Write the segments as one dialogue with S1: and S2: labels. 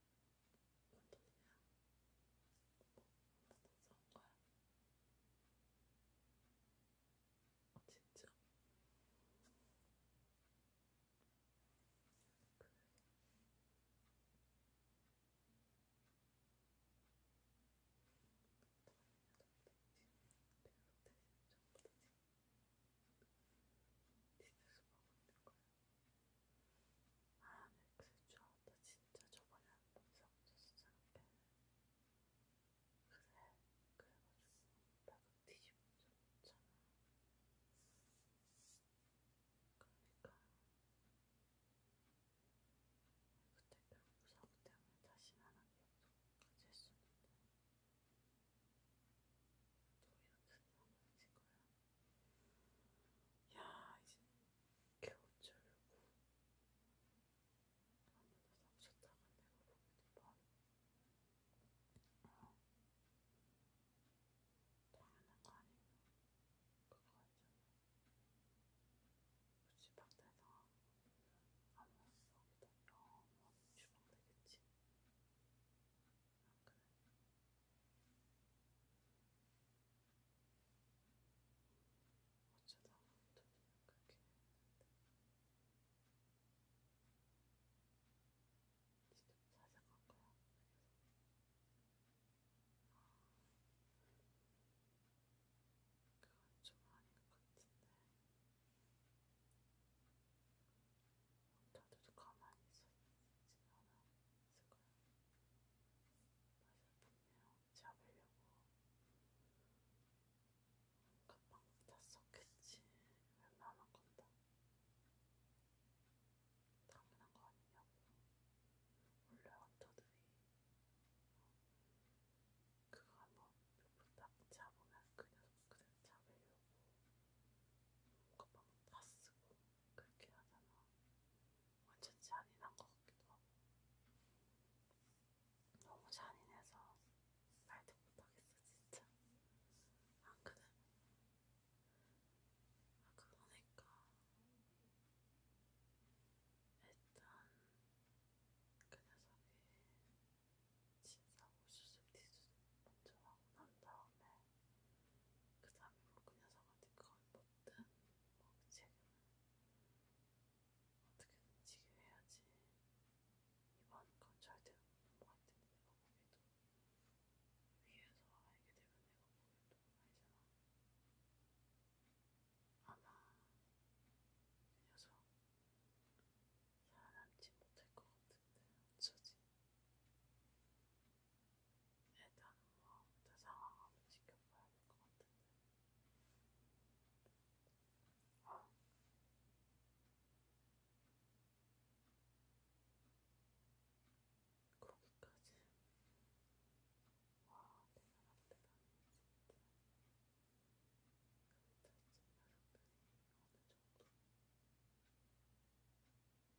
S1: 뭔 돈이야? 뭐, 뭐돈 써온 거야? 어, 진짜? 그래. 대신 전부 다 지금 집에서 먹고 있는 거야. 아, 맥스줄 알았다. 진짜 저번에 한번 섞였었잖아. 그래, 그래가지고 나가 뒤집어져 있잖아. 그러니까 그때 그 사고 때문에 다시는 안 하기로 가질 수 있는데 또 이렇게 남아질 거야. 야, 이제 겨울철 요거 아무도 납쳤다가 내가 보기도 봐. 어. 당연한 거 아니고 그거 알잖아. 굳이 박대상 아마 여기다 영원 추방되겠지. 어쩌다 아무도 그냥 그렇게 했는데 직접 찾아간 거야? 그래서 아, 그건 좀 아닌 것 같은데 어, 다들 가만히 있었지 않아? 있을 거야. 맛을 분명 잡으려고 갑방도 다 썼겠지. 웬만한 건다. 당연한 거 아니냐고. 원래 헌터들이 어, 그거 한번 몇분딱 잡으면 그냥 그대로 잡으려고. 갑방도 다 쓰고 그렇게 하잖아. 완전 잔인한 것 같기도 하고. 너무 잔인해서 말도 못하겠어, 진짜. 안 아, 그래? 아, 그러니까. 일단, 그 녀석이 진사고 수술 뒤수 먼저 하고 난 다음에, 그 다음에 뭐그 녀석한테 그걸 못 뭐뭐 어떤 목책은 어떻게든 지금 해야지. 이번 건 절대 없는 것 같은데 내가 보기에도 위에서 알게 되면 내가 보기에도 알잖아. 아마 그 녀석 살아남지 못할 것 같은데 어쩌지? 일단은 뭐 그때 상황 한번 지켜봐야 될 것 같은데. 어. 거기까지. 와, 대단하다, 대단해, 진짜. 그때 이 녀석들이 어느 정도 어떻게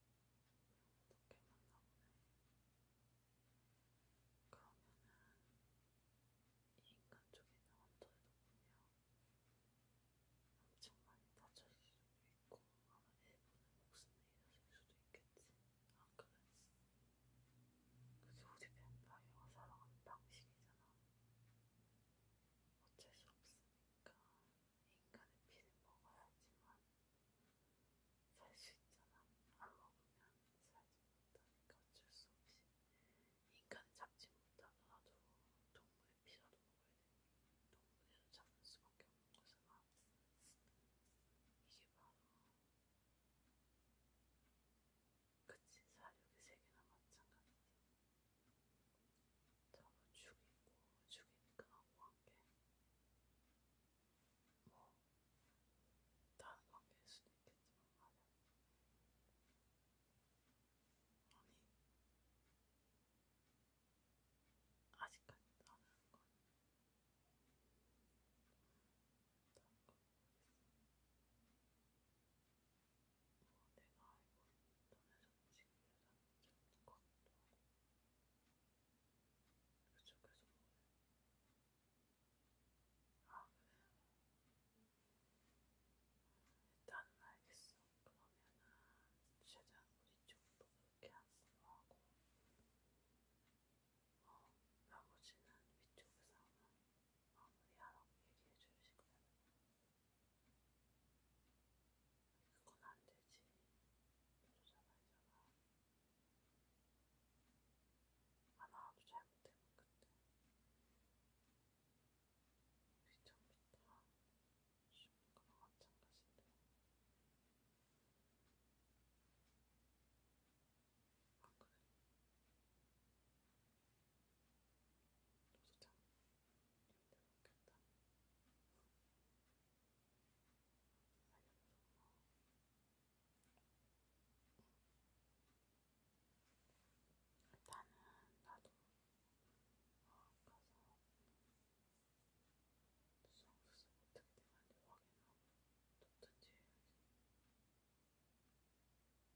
S1: 만나보네. 그러면은 이 인간 쪽에 있는 환자들도 보면 엄청 많이 다쳤을 수도 있고 아마 일부는 목숨을 잃었을 수도 있겠지. 아 그래? 그게 우리 뱀파이어가 살아가는 방식이잖아. 어쩔 수 없으니까 인간의 피는 먹어야지만 살 수 있잖아. 안 먹으면 살지 못하니까 어쩔 수 없이 인간을 잡지 못하더라도 동물의 피라도 먹어야 되니 동물을 잡을 수밖에 없는 거잖아. 이게 바로 그치 사육의 세계나 마찬가지지. 저도 죽이고 죽이는 그놈과 함께 뭐, 다른 관계일 수도 있겠지만 말이야. 아니, 아직까지 나는 건, 다른 건 모르겠어. 뭐, 내가 알고 있는 너네는 지금 여자는 좀 똑같기도 하고. 그렇죠, 계속 먹어요. 아, 그래요? 어, 일단은 알겠어. 그러면은 최대한 우리 쪽도 그렇게 안 걸어하고 어, 나머지는 위쪽에서 하면 마무리하라고 얘기해 주시고요. 그건 안 되지. 부르잖아, 이잖아. 하나라도 잘못되면 그때. 우리 처음부터 죽는 거나 마찬가지인데. 아, 그래. 너도 참 힘들었겠다. 일단은 나도 어, 가서 수정수술 어떻게 되는지 확인하고 뒀든지 해야지. 뭐 별거 있냐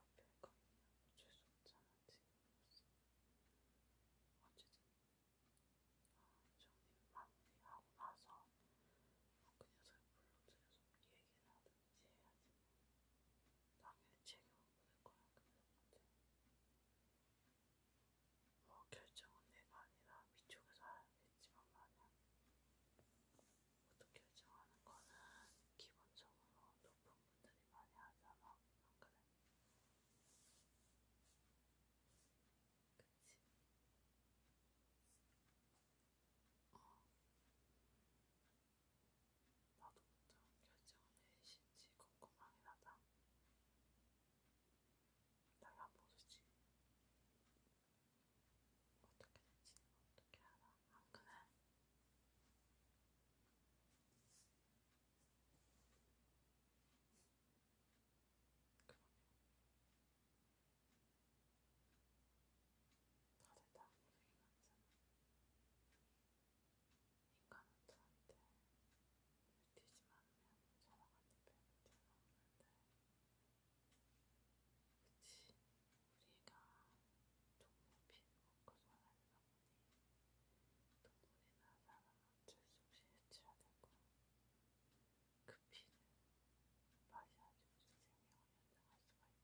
S1: 어쩔 수 없잖아 지금. 어쨌든 정리를 마무리하고 나서 그 녀석을 불러들여서 얘기를 하든지 해야지. 당연히 책임을 묻을 거야, 그 녀석한테. 뭐 결정은 내가 아니라 위쪽에서 하겠지만 말이야. 모두 결정하는 거는 기본적으로 높은 분들이 많이 하잖아. 안 그래? 그치? 어. 나도 어떤 결정을 내리신지 궁금하긴 하다. 내가 모르지. 어떻게 될지는 어떻게 알아? 안 그래? 다들 다 고생이 많잖아. 인간은 저한테 뱉이지 않으면 저한테 뱉을 는 없는데 그치 우리가 동물 피해를 먹고 살아다 보니 동물이나 사람을 어쩔 수 없이 해치워야 될 거야. 그 피는 맛이 아주 생명을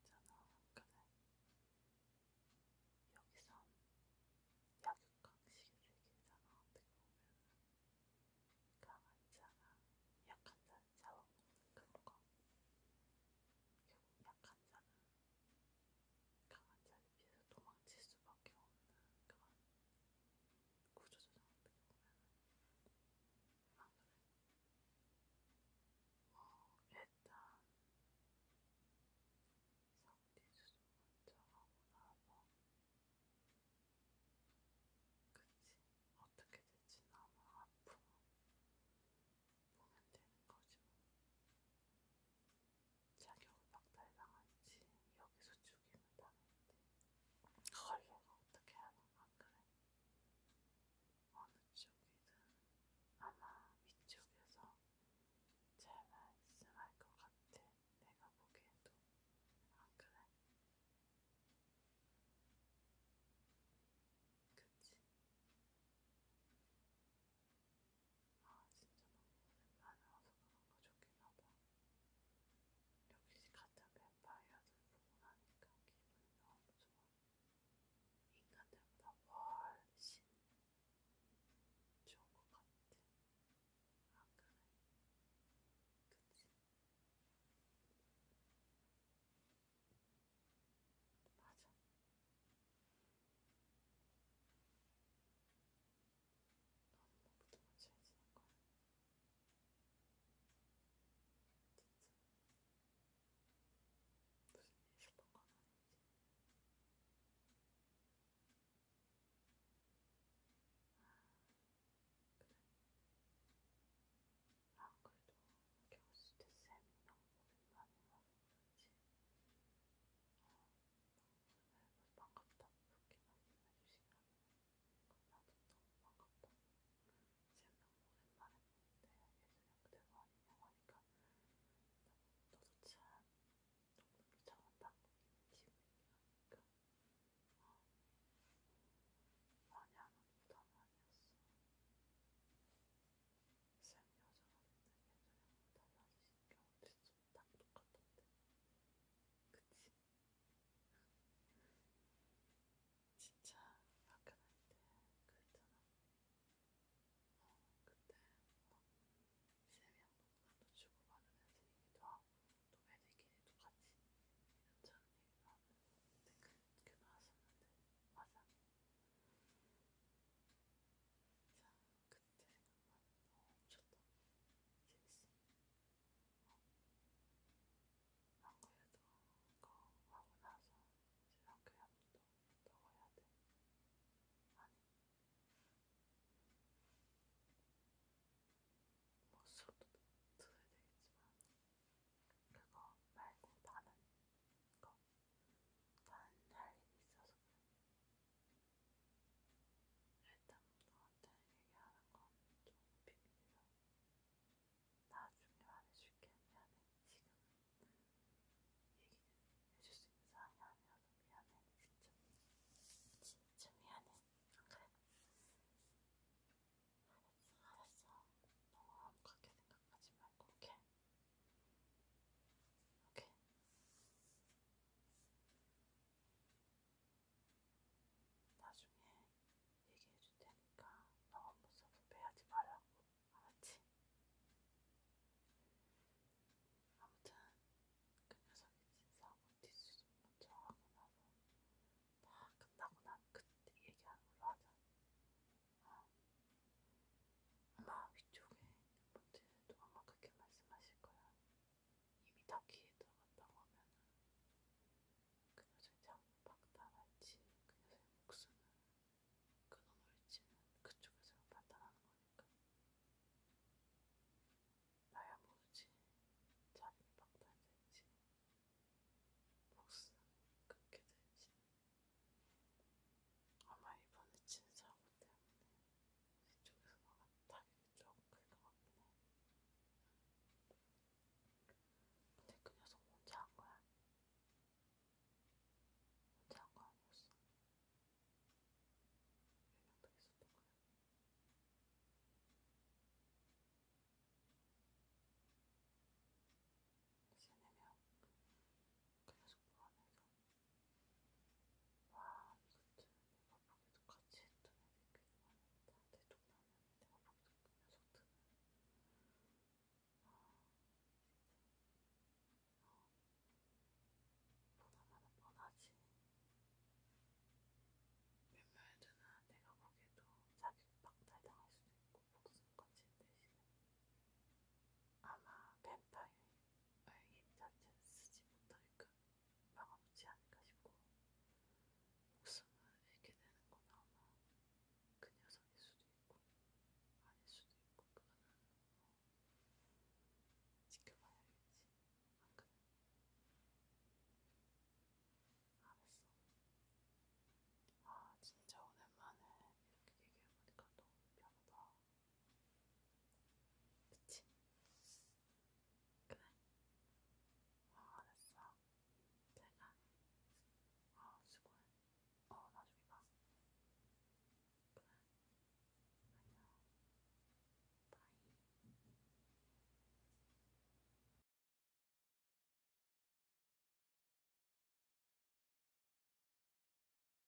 S1: 연장할 수가 있잖아. 그래. 그러니까 여기선 약육강식의 세계잖아. 어떻게 보면 강한 자나 약한 자를 잡아먹는 그런 거. 결국 약한 자는 강한 자를 피해서 도망칠 수밖에 없는 그런 구조조정 어떻게 보면 아 그래? 뭐 일단 성기수술 먼저 하고 나서 그치 어떻게 될지 나만 앞으로 보면 되는 거지 뭐 자격을 박탈당한지 여기서 죽임을 당했지. 그걸 내가 어떻게 하나 안 그래? 어느 쪽이든 아마 위쪽에서 잘 말씀할 것 같아. 내가 보기에도 안 그래? 그치? 아 진짜 망고는 안 와서 그런가 좋긴하다. 역시 같은 뱀파이어들 보고 나니까 기분이 너무 좋아. 인간들보다 훨씬 어, 좋은 것 같아. 안 그래? 그치? 맞아. 한번부터 맞춰야 지는 거야. 진짜 무슨 일 싶은 건 아니지. 아, 그래. 아, 그래도 겨울 수트 쌤이 너무 오랜만에 와. 반갑다. 그렇게 말씀해주시면 나도 너무 반갑다. 지금 너무 오랜만에 보는데 예전에 그대로 아니냐고 하니까 너도 참 너무 잘한다. 지금 얘기하니까 어, 많이 안 오는 부담 아니었어. 쌤 여자분들 예전에 달라지신 게 어딨어? 완전 딱 똑같던데. 그치? 진짜 학교 할때 그랬잖아. 어, 그때 막 쌤이 한번 만도 주고 받으면서 얘기도 하고 또 애들끼리 똑같이 이런저런 얘기도 하면서 그때 그렇게 나왔었는데 맞아. 자, 그 그때 생각만 너무 미쳤다. 재밌어. 어. 안 그래도 그거 하고 나서 이제 학교에 한번더 가야 돼. 아니. 뭐 수업도 들어야 되겠지만 그거 말고 다른 거 난할 일이 있어서 일단 너한테 얘기하는 건 좀 비밀이라 나중에 말해줄게 미안해 지금 얘기는 해줄 수 있는 상황이 아니어서 미안해 진짜 진짜 미안해 안 그래? 알았어 알았어 너무 아무렇게 생각하지 말고 걔 이렇게. 나중에 얘기해줄 테니까 너무 섭섭해하지 말라고. 알았지? 아무튼 그 녀석이 진사하고 뒷수습 먼저 하고 나서 다 끝나고 난 그때 얘기하는 걸로 하자. 어. 아마 위쪽에 있는 분들도 아마 그렇게 말씀하실 거야. 이미 다 귀에 들어갔다고 하면은 그 여자의 장박당할지 그 여자의 목숨을 끊어놓을지는 그 그쪽에서 판단하는 거니까. 나야 모르지 자기 박탈될지 목숨 끊게 될지 아마 이번에 친 사고 때문에 이쪽에서 나간 다리를 쫙 긁어갔구나. 근데 그 녀석 혼자 한 거야? 혼자 한거 아니었어? 몇명더 있었던 거야? 세네 명. 그 녀석 보면서 와, 이것도 내가 보기도 같이 했던 애들끼리 많았다. 대통령은 내가 보기도 그 녀석들은. 아, 진짜. 어. 보나마나 뻔하지. 몇몇 애들은 내가 보기에도 자기 박탈당할 수도 있고 목숨까지 대신에 아마 뱀파이어인 발김 자체는 쓰지 못하니까 막아놓지 않을까 싶고 목숨을 잃게 되는건 아마 그 녀석일 수도 있고 아닐 수도 있고 그거는 뭐 지켜봐야겠지 안 아, 그래? 알았어 아 진짜 오랜만에 이렇게 얘기해보니까 너무 편하다 그치? 그래. 어, 알았어. 제가. 어, 수고해. 어, 나중에 봐. 그래. 안녕. 바이.